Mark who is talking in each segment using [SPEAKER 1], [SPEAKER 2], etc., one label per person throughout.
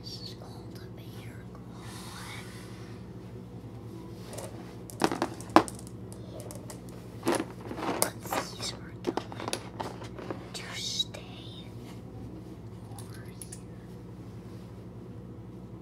[SPEAKER 1] This is called a bear claw. But these were going to stay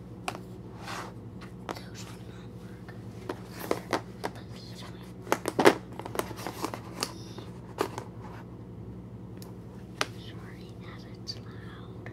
[SPEAKER 1] Those do Sorry that it's loud.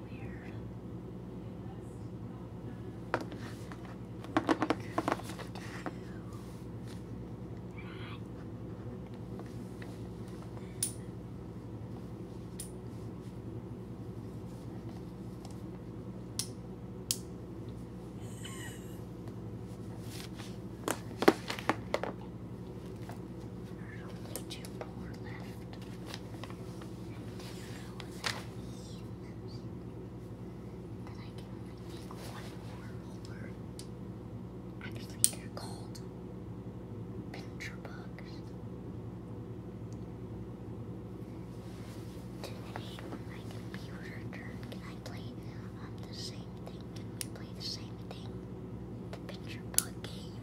[SPEAKER 1] weird. What do? Right. There's only more left. Then I can make one more Actually, are called picture books. Today, when my computer turned, can I play the same thing? Can we play the same thing? The picture book game.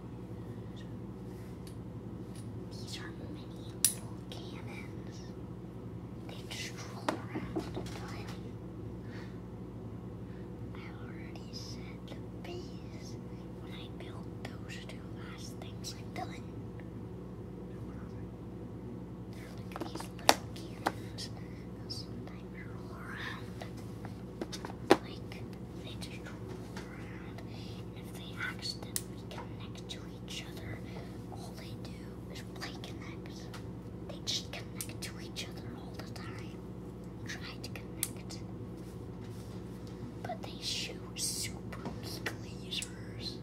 [SPEAKER 1] These are mini little cannons. They just roll around entirely. I already said the bees. when I built those two last things I've done. look at these little cannons. they roll around. Like, they just
[SPEAKER 2] if they accidentally connect to each other, all they do is play connect. They just connect to each other all the time. Try to connect. But they shoot super big lasers.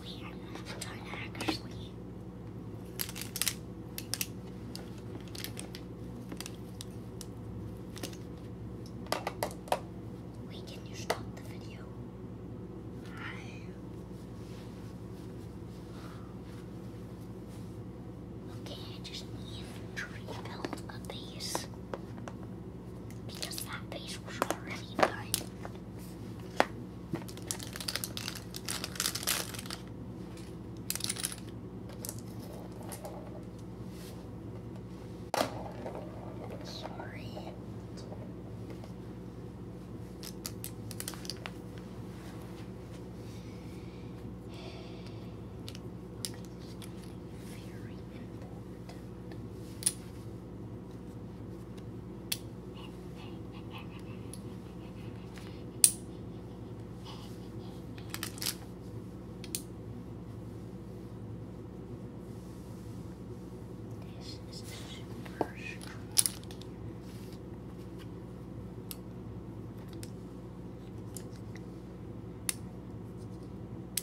[SPEAKER 2] We are not done actually. Wait, can you stop the video? Hi. Okay, I just need to rebuild a base. Because that base was already done. Sorry. This is the super strong. This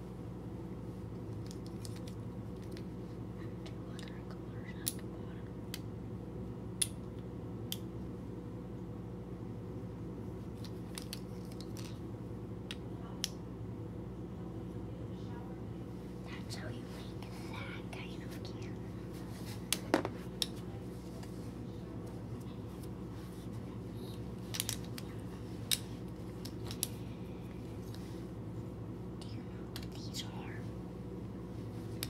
[SPEAKER 3] Two That's how you make that kind of can these are?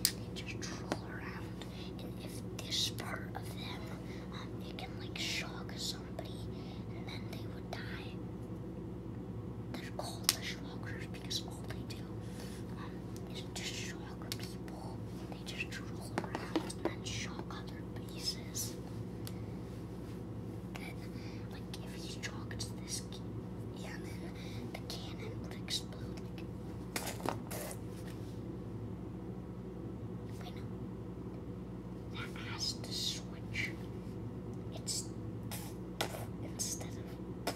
[SPEAKER 3] They just troll around, and if this part of them, um, it can like shock somebody, and then they would die. They're called the shockers because all they do
[SPEAKER 1] um, is just shock people. They just troll around and shock other people pieces. Then, like, if he shocked this, yeah, the cannon would explode. That has to switch. It's instead of.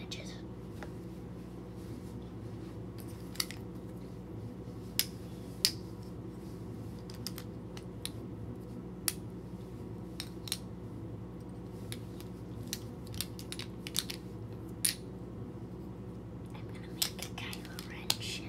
[SPEAKER 4] edges. I'm gonna make a Kylo Ren ship.